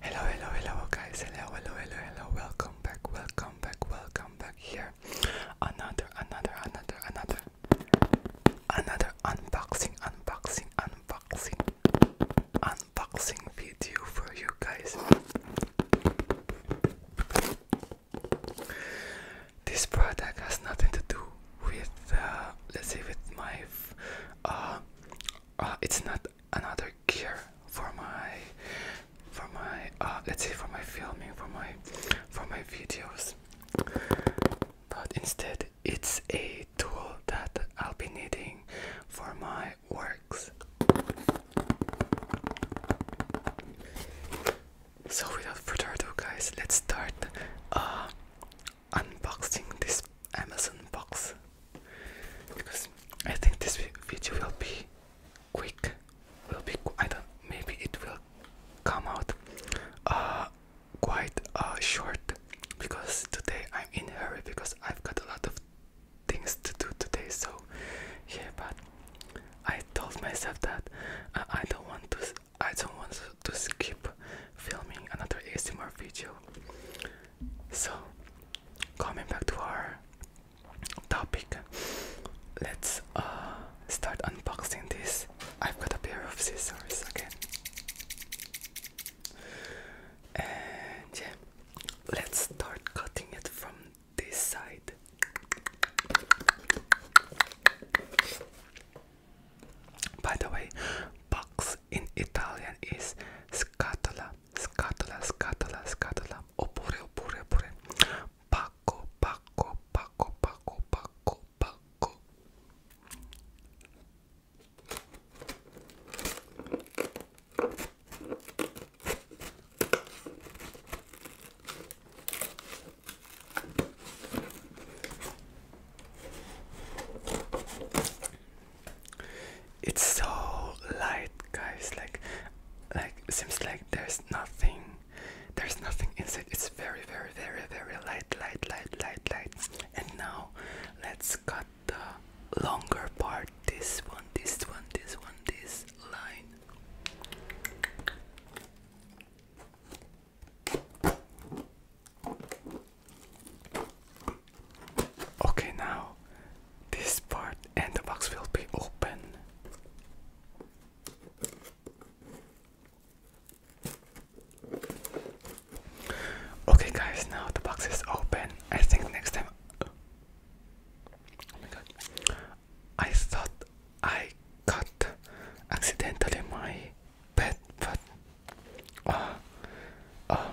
Hello, hello, hello, guys. Hello, hello, hello, hello. Welcome back, welcome back, welcome back here. Another, another, another, another, another unboxing, unboxing, unboxing, unboxing video for you guys. This product has nothing to do with, uh, let's say, with my. Uh, uh, it's not another gear for my, for my, let's say, for my filming, for my, for my videos. But instead, it's a tool that I'll be needing for my work. So without further ado guys, let's start uh, unboxing this Amazon box because I think this video will be quick. Will be I don't maybe it will come out uh, quite uh, short because today I'm in a hurry because I've got a lot of things to do today, so yeah. But I told myself that uh, I don't want to. I don't want to skip filming another ASMR video. So coming back to our topic, let's uh, start unboxing this. I've got a pair of scissors again. And yeah, let's start cutting it from this side. By the way, box in Italian is scatola, scatola, scatola, scatola, oppure, oh, oppure, oh, oppure, oh, pacco, pacco, pacco, pacco, pacco, pacco. It's so light, guys. Like, like seems like there's nothing. There's nothing inside. It's very, very, very, very light, light, light, light, light. And now, let's cut the longer part this one this one this one this line Okay, now this part and the box will be open. Okay, guys, now the box is open. I think next time Oh my god. I thought I cut accidentally my bed, but uh, uh,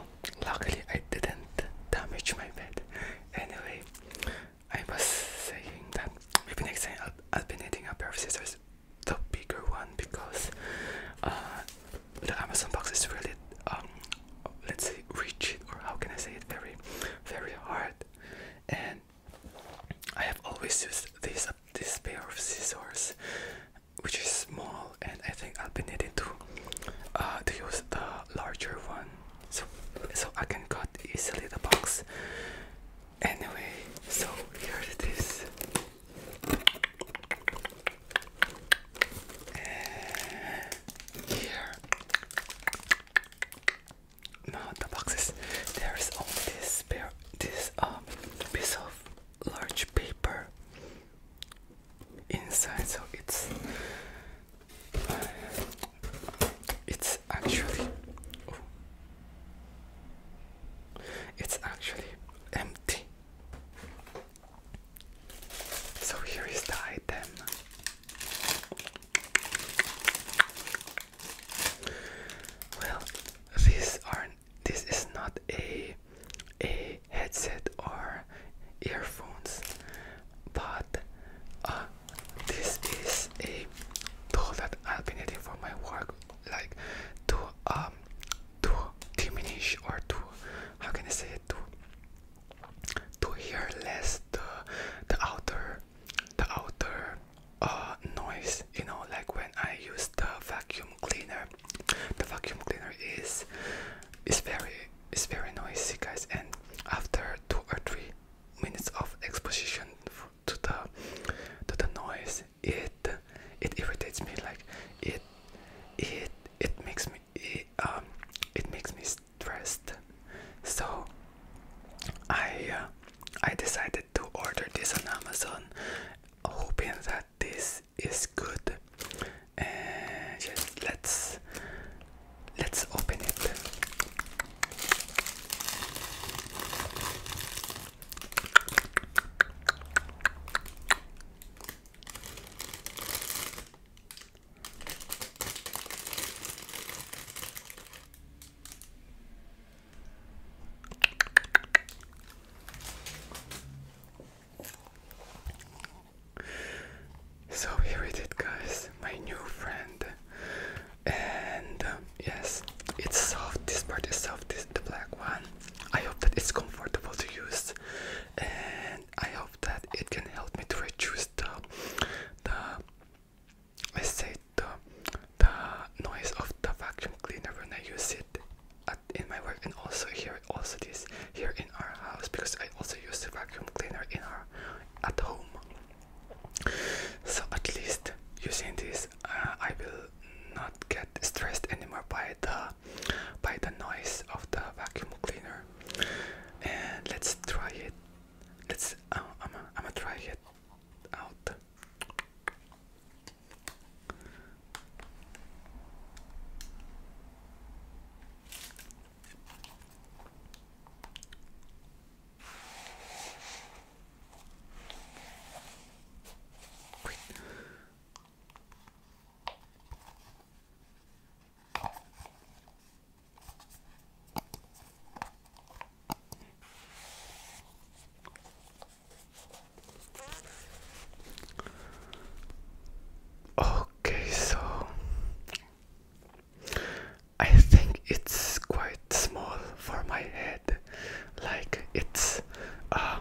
luckily I didn't damage my bed. Anyway, I was saying that maybe next time I'll, i be needing a pair of scissors, the bigger one, because uh, the Amazon box is really um, let's say reach it or how can I say it very very hard and I have always used this uh, this pair of scissors which is small and I think I'll be needing to to use the larger one so so I can cut easily the box anyway so here it is and uh, here. No, the boxes. There is only this pair, this um, piece of large paper inside. So it's uh, it's actually oh, it's actually empty. So here is the item. Well, these aren't. This is not a a headset or earphones, but uh, this is a tool that I've been needing for my work, like to um to diminish or to how can I say it to to hear less the the outer the outer uh, noise. You know, like when I use the vacuum cleaner. The vacuum cleaner is is very is very noisy, guys. And after two or three minutes of exposition to the to the noise, it it irritates me. Like it it it makes me. It, um, it makes me stressed. So I uh, I decided to order this on Amazon, hoping that this is good. And just let's let's open it. So here it is, guys, my new friend. And um, yes, it's soft. This part is soft, this, the black one. I hope that it's comfortable to use and I hope that it can help me to reduce the the let's say the the noise of the vacuum cleaner when I use it at, in my work and also here also this here in our house because I also use the vacuum cleaner in our at home. So at least using this, uh, I will not get stressed anymore by the by the noise of the vacuum cleaner. And let's try it. Let's. Um, I'm gonna try it out. Okay, so I think it's quite small for my head, like it's uh,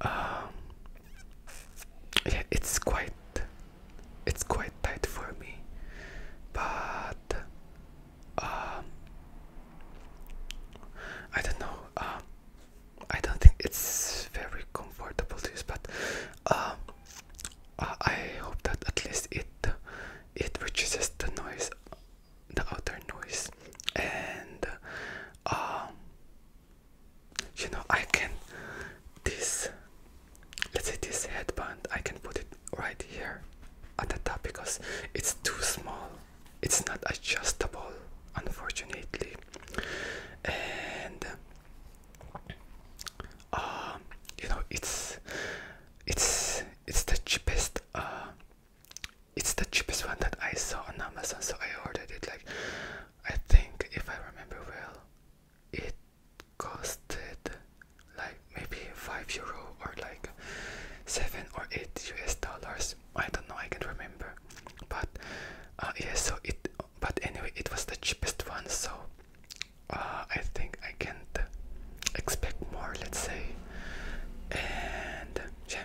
um, yeah, it's quite it's quite tight for me, but um, I don't know. Um, I don't think it's very comfortable to use, but I hope that at least it it reduces the noise the outer noise and um you know I can this let's say this headband I can put it right here at the top because it's too small it's not adjustable unfortunately and um you know it's it's it's the cheapest uh it's the cheapest one that I saw on Amazon, so I ordered it. Like, I think if I remember well, it costed like maybe five euro or like seven or eight US dollars. I don't know. I can't remember. But uh, yeah, so it. But anyway, it was the cheapest one, so uh, I think I can expect more, let's say. And yeah.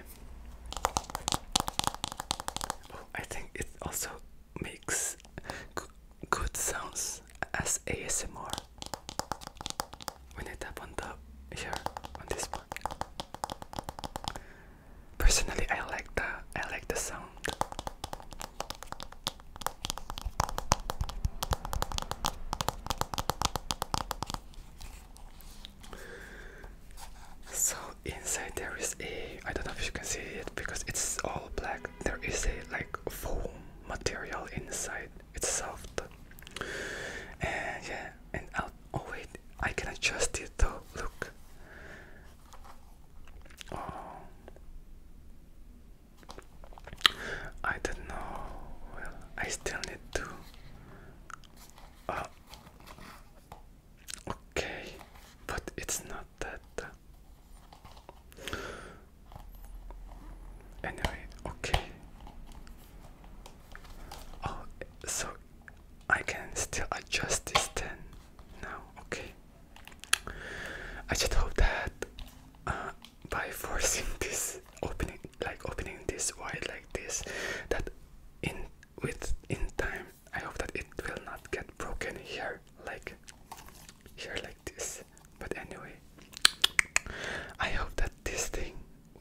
Oh, I think it also makes good sounds as ASMR when I tap on the here on this one. Personally, I like the I like the sound. So inside there is a I don't know if you can see it because it's all black. There is a like foam material inside. It's soft. And yeah, and oh wait, I can adjust it though. Look. Oh. I don't know. Well, I still need to. Oh, okay, but it's not that. Uh, anyway, okay. Oh, so I can still adjust this then now, okay. I just hope that uh, by forcing this opening like opening this wide like this that in with in time I hope that it will not get broken here like here like this but anyway I hope that this thing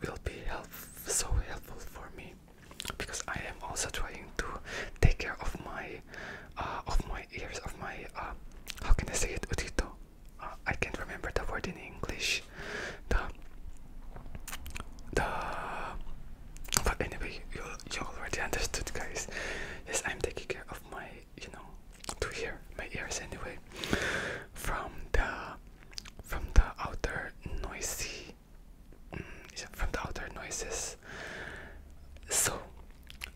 will be help so helpful for me because I am also trying to take care of my uh, of my ears of my uh, how can I say it utito I can't remember the word in English. The the but anyway, you already understood, guys. Yes, I'm taking care of my you know to hear my ears anyway from the from the outer noisy. Mm, from the outer noises. So,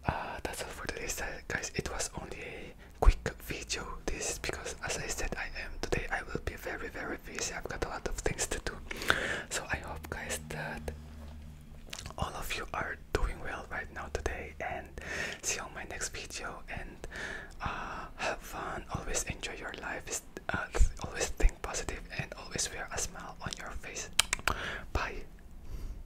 uh, that's all for today guys it was only a quick video this because as I said I am today I will be very very busy I've got a lot of things to do so I hope guys that all of you are doing well right now today and see you on my next video and uh, have fun always enjoy your life uh, always think positive and always wear a smile on your face bye